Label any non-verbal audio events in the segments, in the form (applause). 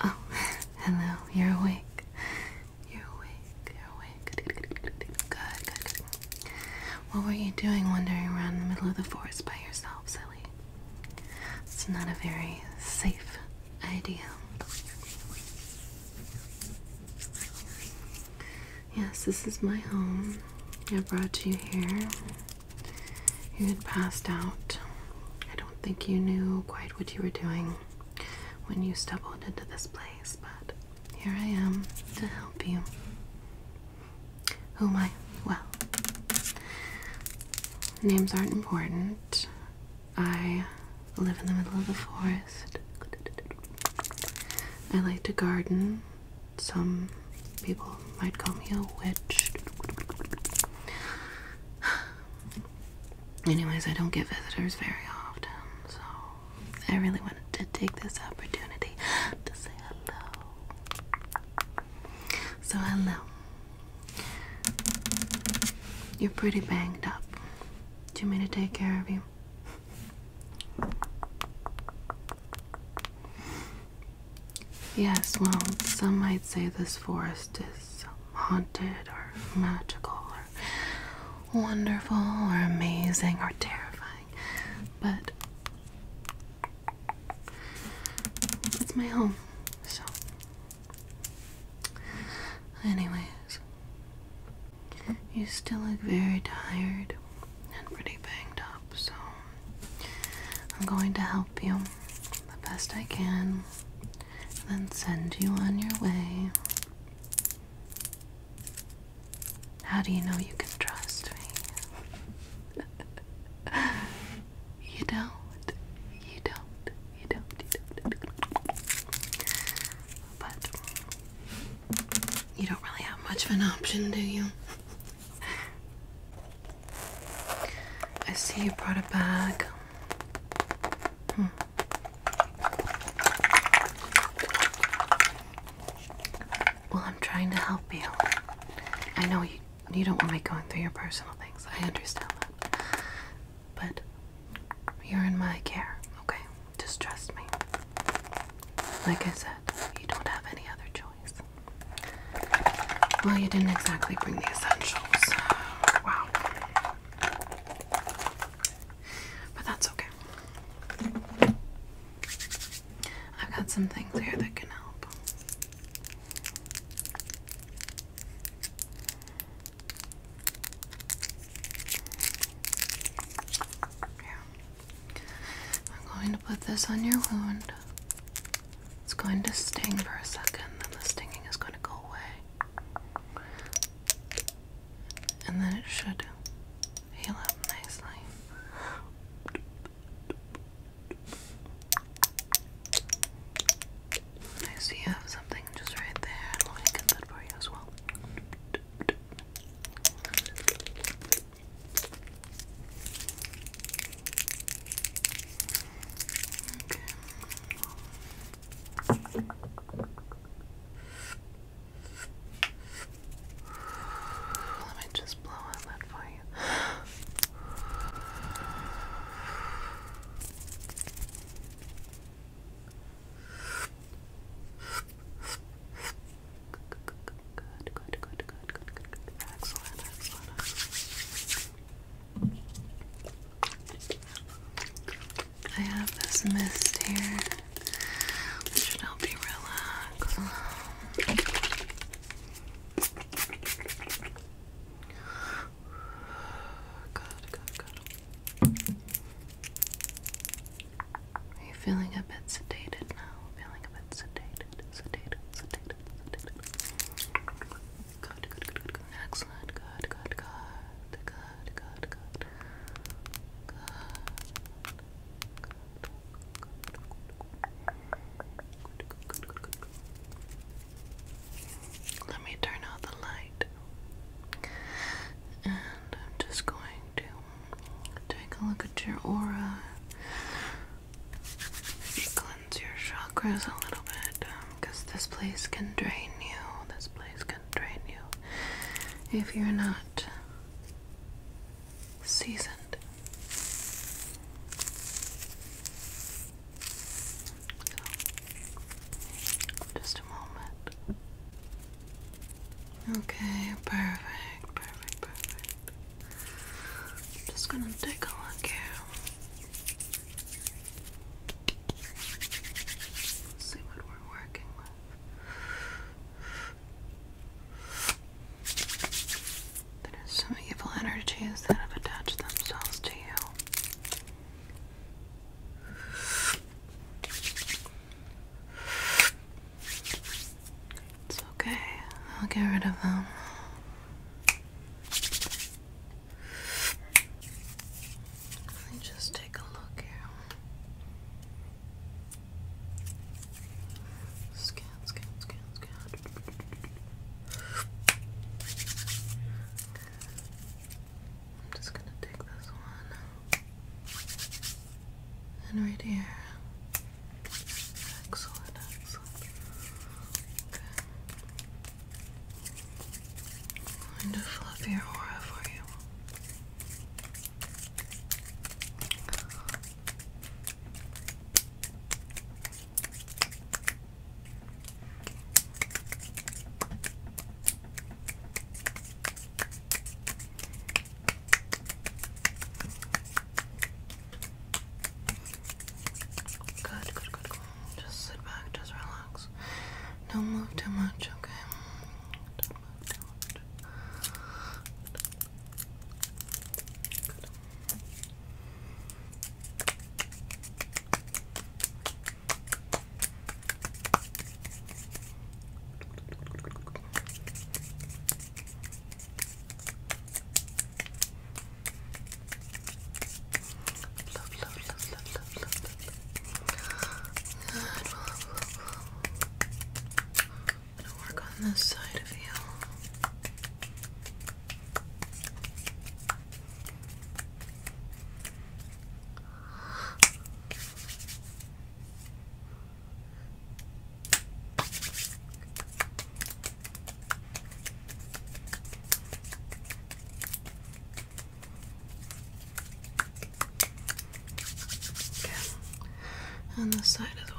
Oh, (laughs) hello, you're awake. You're awake, you're awake. Good, good, What were you doing wandering around in the middle of the forest by yourself, silly? It's not a very safe idea. Yes, this is my home. I brought you here. You had passed out. I don't think you knew quite what you were doing when you stumbled into this place, but here I am to help you. Oh my! Well, names aren't important. I live in the middle of the forest. I like to garden. Some people might call me a witch. Anyways, I don't get visitors very often, so I really wanted to take this opportunity to say hello. So, hello. You're pretty banged up. Do you mean to take care of you? Yes, well, some might say this forest is haunted or magical or wonderful or amazing or terrifying, but it's my home, so. Anyways, you still look very tired and pretty banged up, so I'm going to help you the best I can and then send you on your way. How do you know you can trust me? (laughs) you don't. You don't. You don't. You don't. But you don't really have much of an option, do you? I see you brought a bag. Hmm. Well, I'm trying to help you. I know you, you don't want me going through your personal things. I understand that. But you're in my care, okay? Just trust me. Like I said, you don't have any other choice. Well, you didn't exactly bring the essentials. Wow. But that's okay. I've got some things here that can help. I'm going to put this on your wound. It's going to sting for a second, then the stinging is going to go away. And then it should heal up nicely. I see you have something just right there, and we get that for you as well. Okay. Let me just blow on that for you. I have this mist here, This should help you relax. Good, good, good. Are you feeling a bit sedated now? Feeling a bit sedated, sedated, sedated, sedated. Good, good, good, good, good. Excellent. Good, good, good, good, good, good. Good. Good, good, good, good. Let me turn out the light. And I'm just going take a look at your aura. Cleanse your chakras a little bit because um, this place can drain you. This place can drain you if you're not seasoned. just a moment. Okay, perfect, perfect, perfect. I'm just gonna take a look here. Let's see what we're working with. There's some evil energies that have attached themselves to you. It's okay. I'll get rid of them. Let me just take a look here. Scan, scan, scan, scan. I'm just gonna take this one. And right here. Excellent, excellent. Okay. your aura for you. Good, good, good, Just sit back, just relax. Don't move too much, okay? I'm gonna work on this side of you. Good. Okay. And this side as well.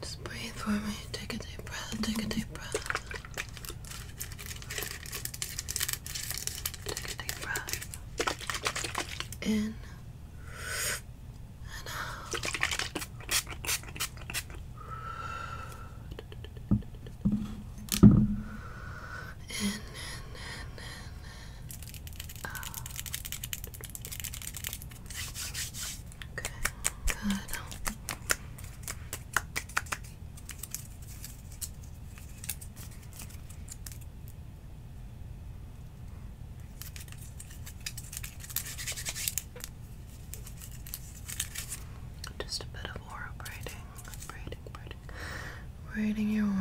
Just breathe for me. Take a deep breath. Take a deep breath. Take a deep breath. In and out. In, in, in, in, out. Okay, good. Just a bit of aura braiding, braiding, braiding, braiding your aura.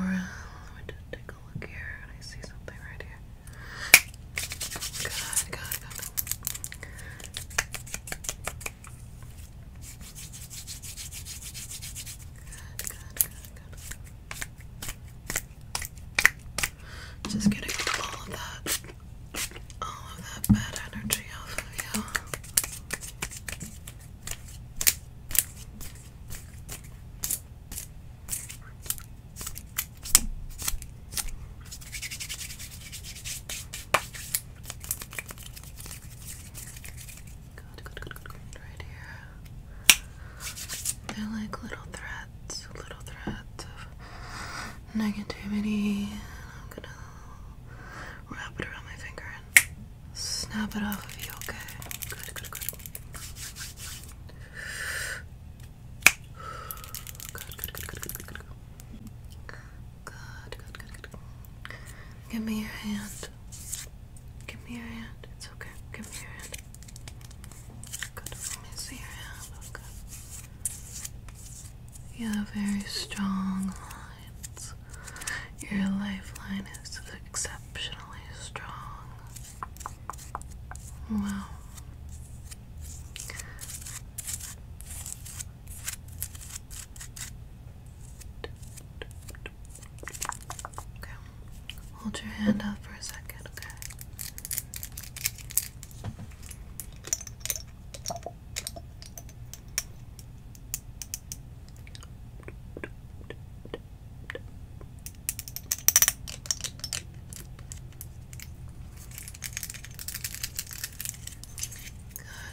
Let me just take a look here, and I see something right here. Good, good, good. Good, all of that, all of that bad energy off of you. They're like little threads, little threads of negativity. I'm gonna wrap it around my finger and snap it off of you, okay? Good, good, good, good. Give me your hand. Give me your hand. It's okay. Give me your hand. Let me see your hand. You have very strong lines. Your lifeline is exceptionally strong. Wow. Okay. Hold your hand out for a second, okay?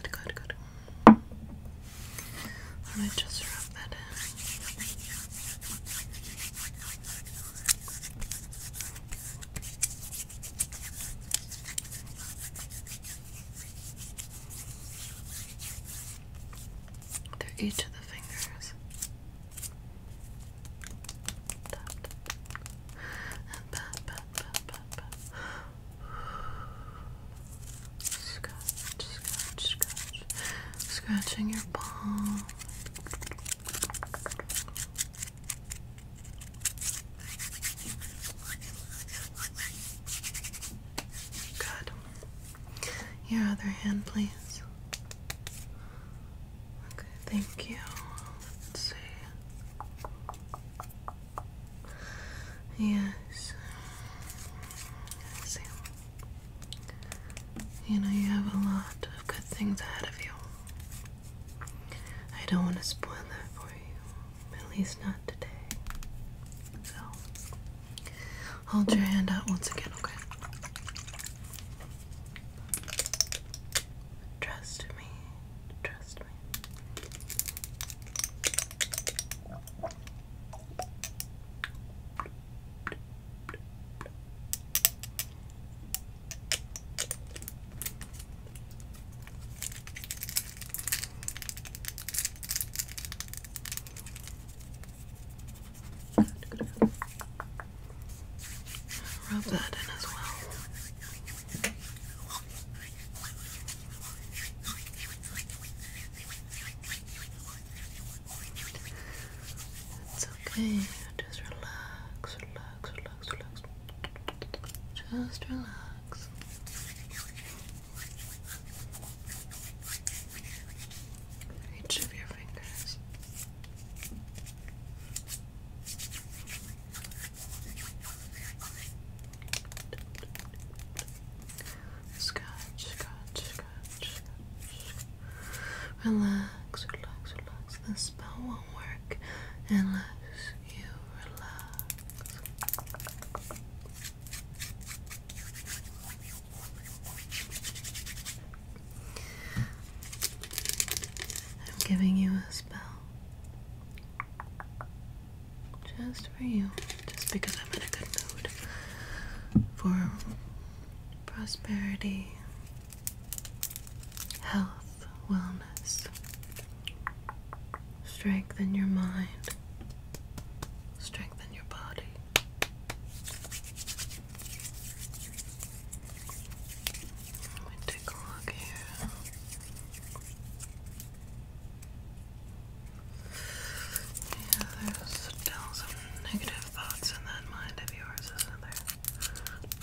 Good, good, good. I'm just rub that in. Through each of the fingers. Scratch, scratch, scratch. Scratching your palm. Good. Your other hand, please. Okay, thank you. Let's see. Yes. You know, you have a lot of good things ahead of you. I don't want to spoil that for you, at least not today. So, hold your hand out once again, okay? Trust me. Trust customer. Rub that in as well. It's okay. Just relax, relax, relax, relax. Just relax. Each of your fingers. Scratch, scratch, scratch, Relax, relax, relax. The spell won't work unless you relax. I'm giving you a spell. Just for you. Just because I'm in a good mood. For prosperity, health, wellness. Strengthen your mind. Strengthen your body take a Yeah, there's some negative thoughts in that mind of yours, isn't there?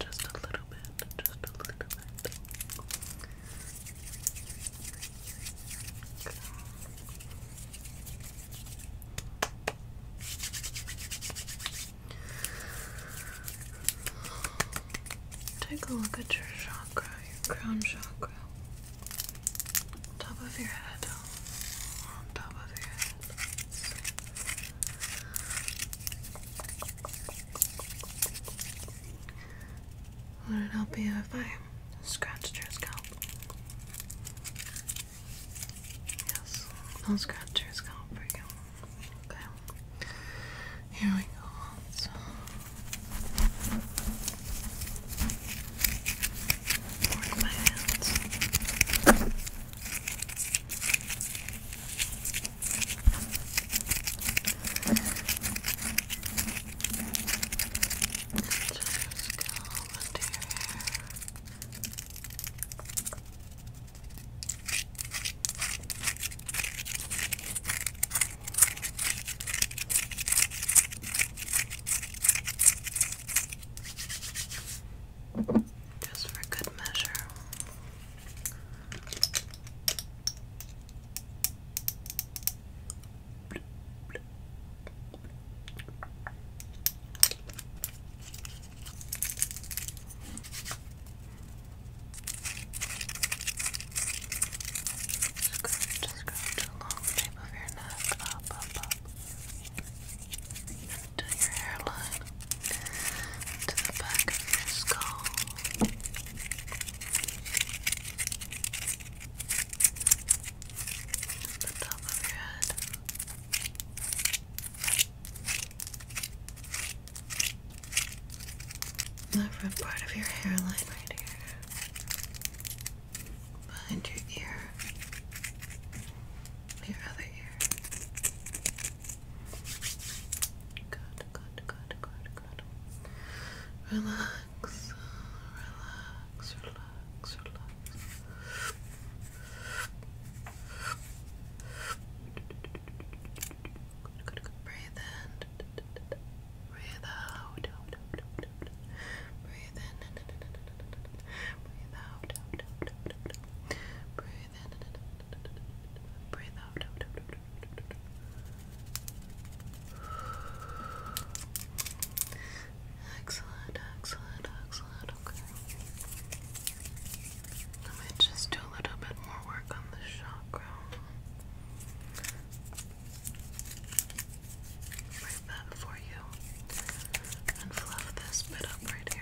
Just a little bit, just a little bit. Take a look at your chakra, your crown chakra. Top of your head. On top of your head. Would it help you if I scratched your scalp? Yes, I'll scratch your scalp for you. Okay. Here we go. So. my hands. Just go into your just for good measure. Just going to the long shape of your neck, up, up, up, to your hairline, to the back of your skull. The top of your head the front part of your hairline right here, behind your ear, your other ear. Good, good, good, good, good. Relax, relax, relax, relax. Breathe in. Breathe out. Breathe in. Breathe out. Breathe in. Breathe out. Excellent, excellent, excellent. Okay. Let me just do a little bit more work on the shoulders chakra. that for you and fluff this bit up right here.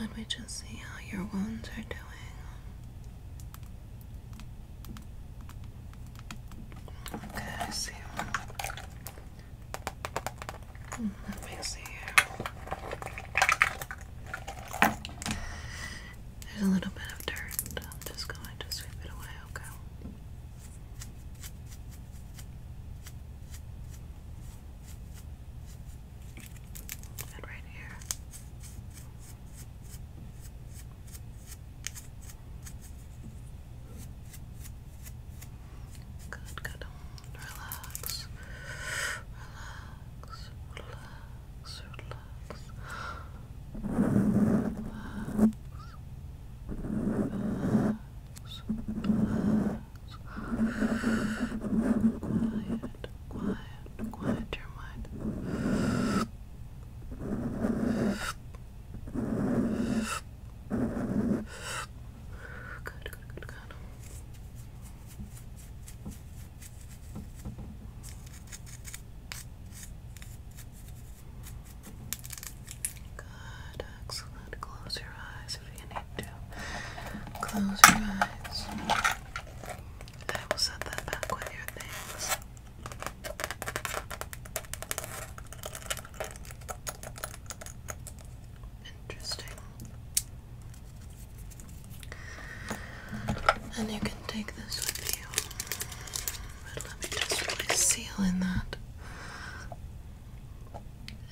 Let me just see how your wounds are doing. Okay, I see. Hmm, let me see There's a little bit of dirt. I'm just going to sweep it away, okay? and right here. Good, good. Relax. Relax. Relax. Relax. Quiet, quiet, quiet your mind. Good, good, good, good. Good, excellent. Close your eyes if you need close your eyes. I will set that back with your things. Interesting. And you can take this with you. let me just really seal in that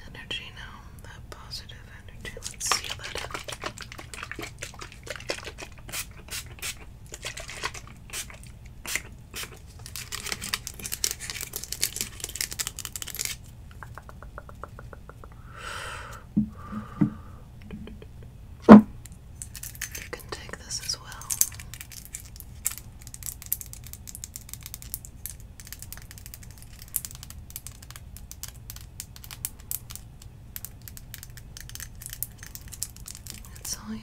energy now, that positive Let's seal that up. You can take this as well. It's all yours.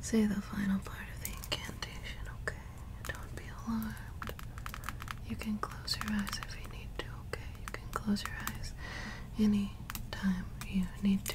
say the final part of the incantation, okay? Don't be alarmed. You can close your eyes if you need to, okay? You can close your eyes any time you need to.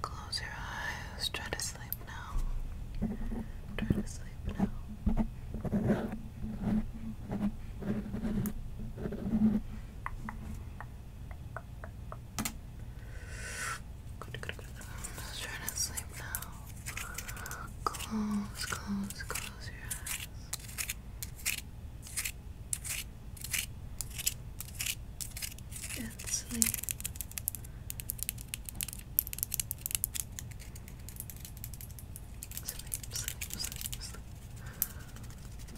Close your eyes. Try to sleep now. Try to sleep now. Just trying to sleep now. Close, close, close your eyes. And sleep. Sleep, sleep, sleep, sleep.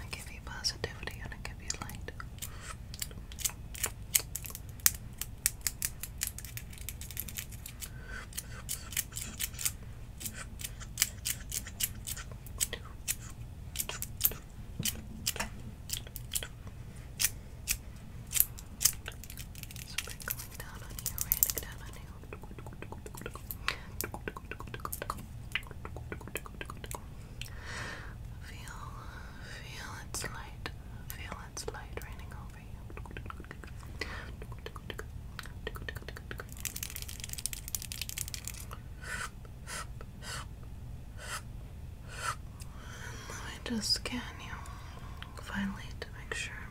I give you positivity and I give you light. Sprinkling down on you, raining down on you. Feel, feel its light, feel its light raining over you. let me just scan you finally to make sure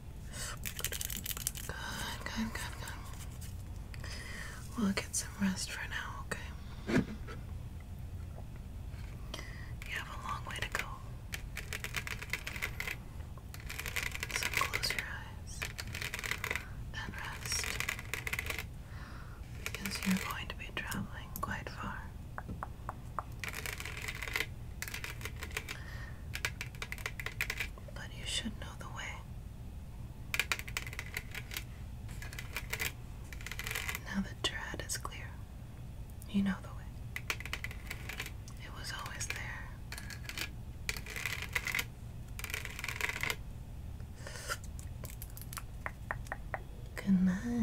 Good, good, good, good. We'll get some rest for now, okay? You have a long way to go. So close your eyes and rest because you're going to be traveling quite far. But you should know the way. Now that your is clear, you know the way. It was always there. Good night.